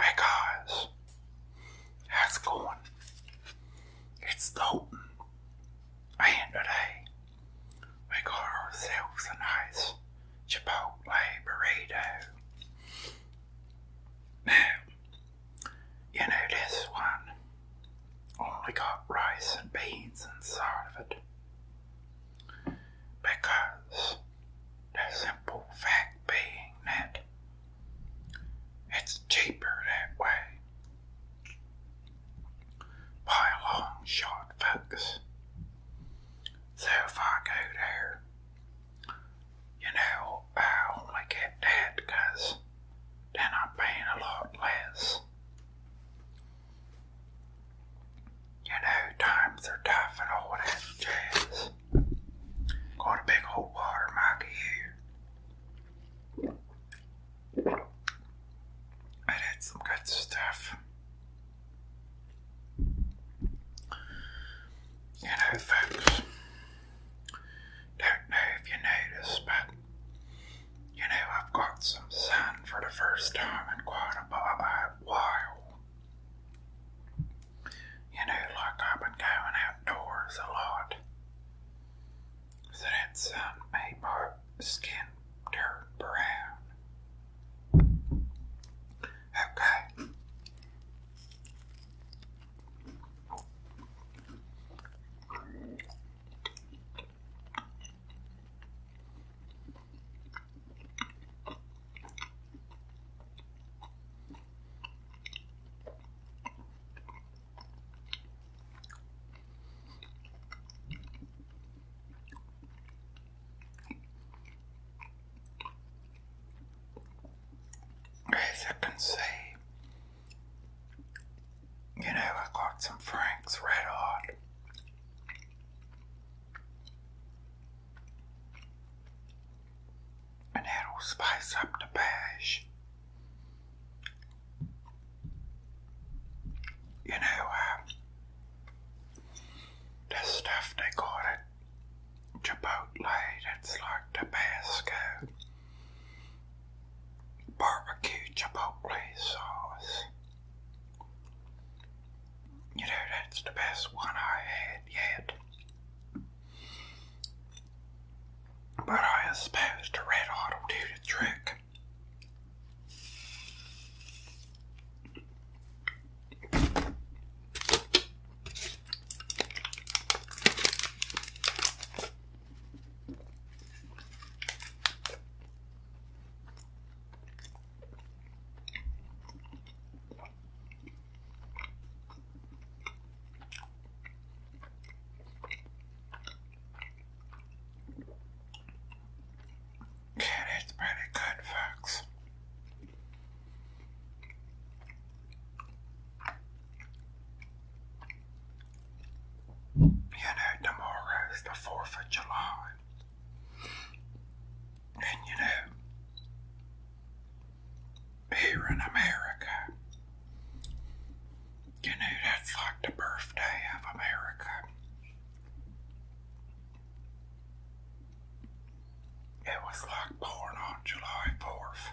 Hey guys, how's it going? It's Dalton, and today we got ourselves a nice Chipotle burrito. Now, you know this one only got rice and beans inside of it. Because the simple fact being that it's cheaper that way. By a long shot, folks. So if I go there, you know, I only get that because then i paying a lot less. You know, times are tough and all that jazz. Got a big old water mug here. I did some good stuff. You know, folks, don't know if you noticed, but you know, I've got some sun for the first time in quite a while. You know, like I've been going outdoors a lot. So that's um, a skin dirt brown. Okay. As you can see, you know, I got some Frank's Red Hot and that'll spice up the bash. You know, uh, the stuff they call it Chipotle, that's like Tabasco, barbecue Chipotle sauce. You know, that's the best one I had yet. But I suppose the red hot will do the trick. Yeah, pretty good, folks. You know, tomorrow is the 4th of July. And you know, here in America, you know, that's like the birthday of America. It was like born on July 4th.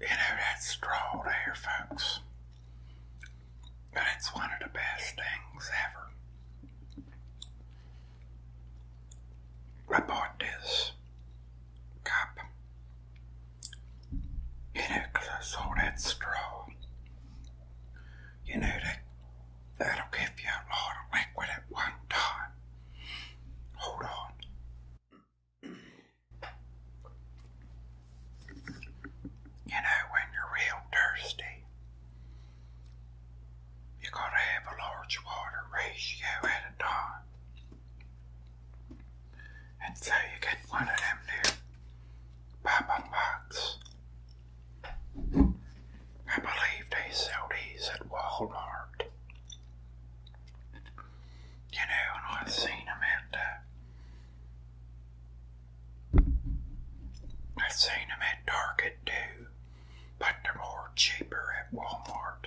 You know that straw there, That's one of the best things ever. I bought this cup you know I saw that straw you know that that'll give you a lot of liquid at one time hold on you know when you're real thirsty you got to have a large water ratio at a time. And so you get one of them new pop-up box. I believe they sell these at Walmart. You know, and I've seen them at, uh, I've seen at Target too, but they're more cheaper at Walmart.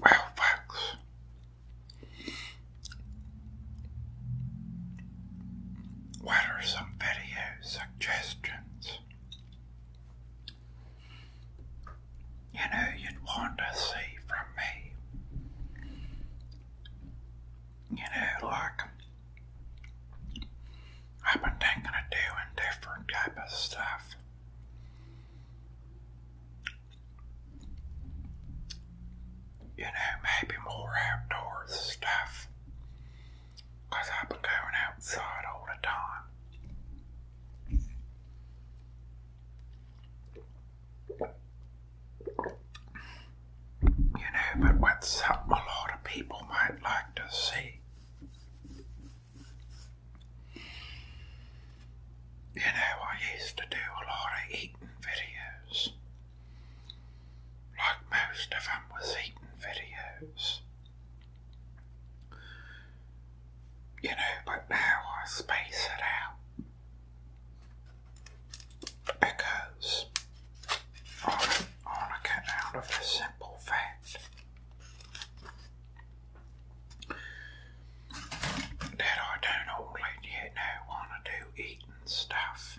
Well, folks, what are some video suggestions you know you'd want to see from me. You know, like I've been thinking of different type of stuff. You know, maybe more outdoors stuff. Because I've been going outside all the time. You know, but what's something a lot of people might like to see. You know, I used to do a lot of eating videos. Like most of was eating videos. You know, but now I space it out because I want to get out of the simple fact that I don't all you know want to do eating stuff.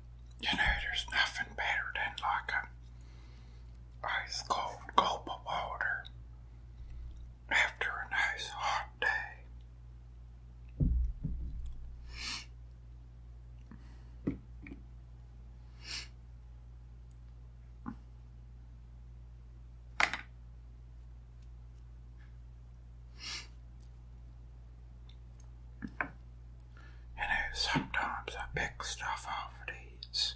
You know, there's nothing better than like a ice cold gulp of water after a nice hot day. You know, sometimes I pick stuff off these.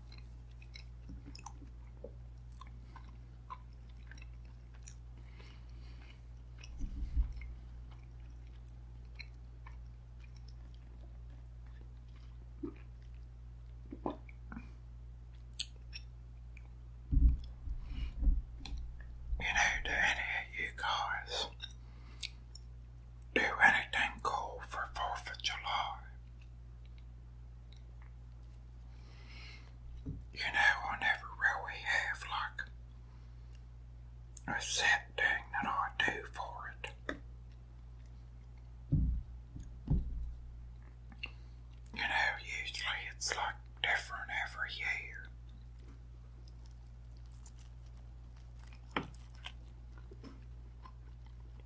You know, do any of you guys do anything cool for 4th of July? You know, I never really have like a set thing that I do for it. You know, usually it's like different every year.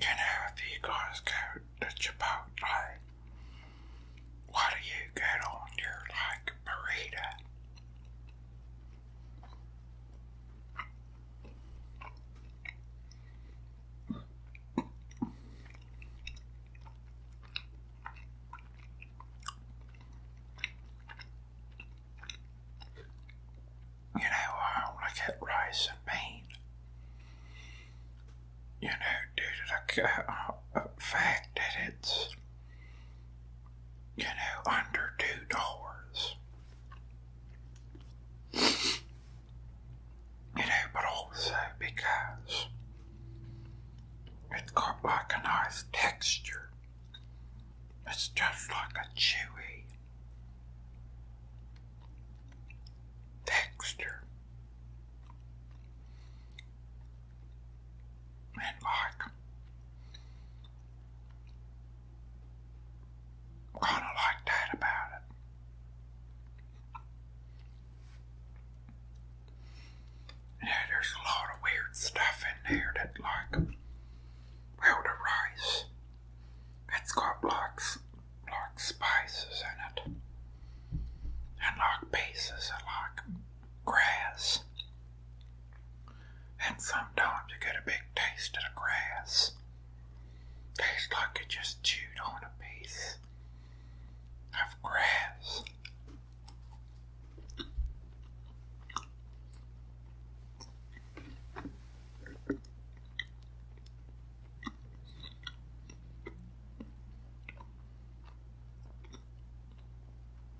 You know, if you guys go to Chipotle, what do you get on your like burrito? You know, I only get rice and bean. You know, due to the fact that it's you know, under two dollars. You know, but also because it got like a nice texture. It's just like a chewy texture. And like Kind of like that about it. Yeah, there's a lot of weird stuff in there that, like, well, the rice, it's got like, like spices in it, and like pieces of like grass and sometimes you get a big taste of the grass. Tastes like you just chewed on a piece of grass.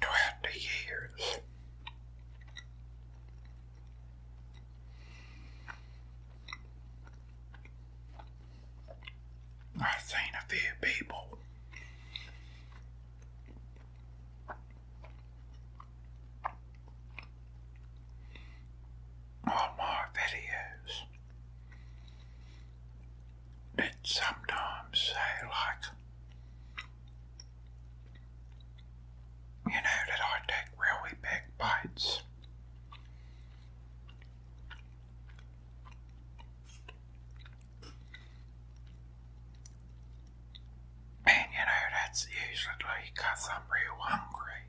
Throughout the years, I've seen a few people or more videos that sometimes say like you know that I take really big bites and you know, that's usually I'm real hungry.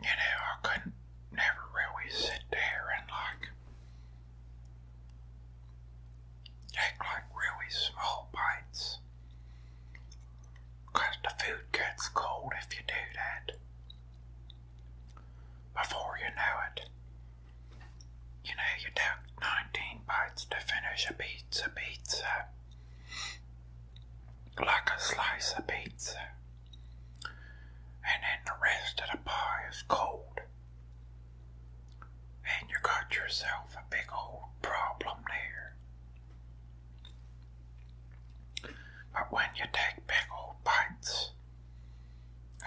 You know, I couldn't never really sit there and like take like really small bites. the food gets cold if you do that. Before you know it, you know, you took 19 bites to finish a pizza pizza. Like a slice of pizza. And then the rest of the pie is cold. And you got yourself a big old problem there. But when you take big old bites,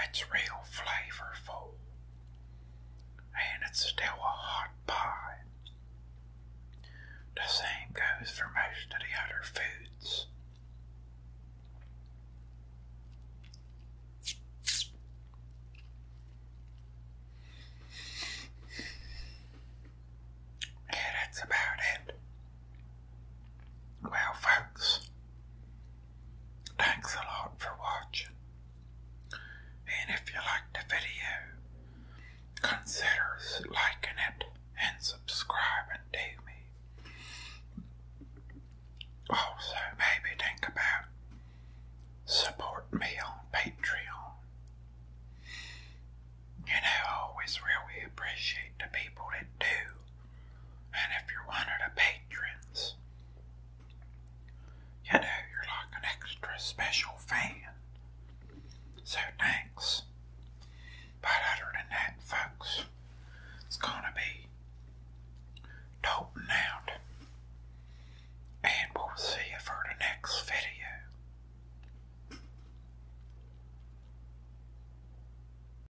it's real flavorful. And it's still a hot pie. The same goes for most of the other foods. Yeah, that's about it. Well, folks, Thanks a lot for watching. And if you liked the video, consider liking it and subscribing to me. Also, maybe think about supporting me on Patreon. You know, I always really appreciate the people that do. And if you're one of the patrons, you know, you're like an extra special fan. So thanks. But other than that, folks, it's gonna be toting out. And we'll see you for the next video.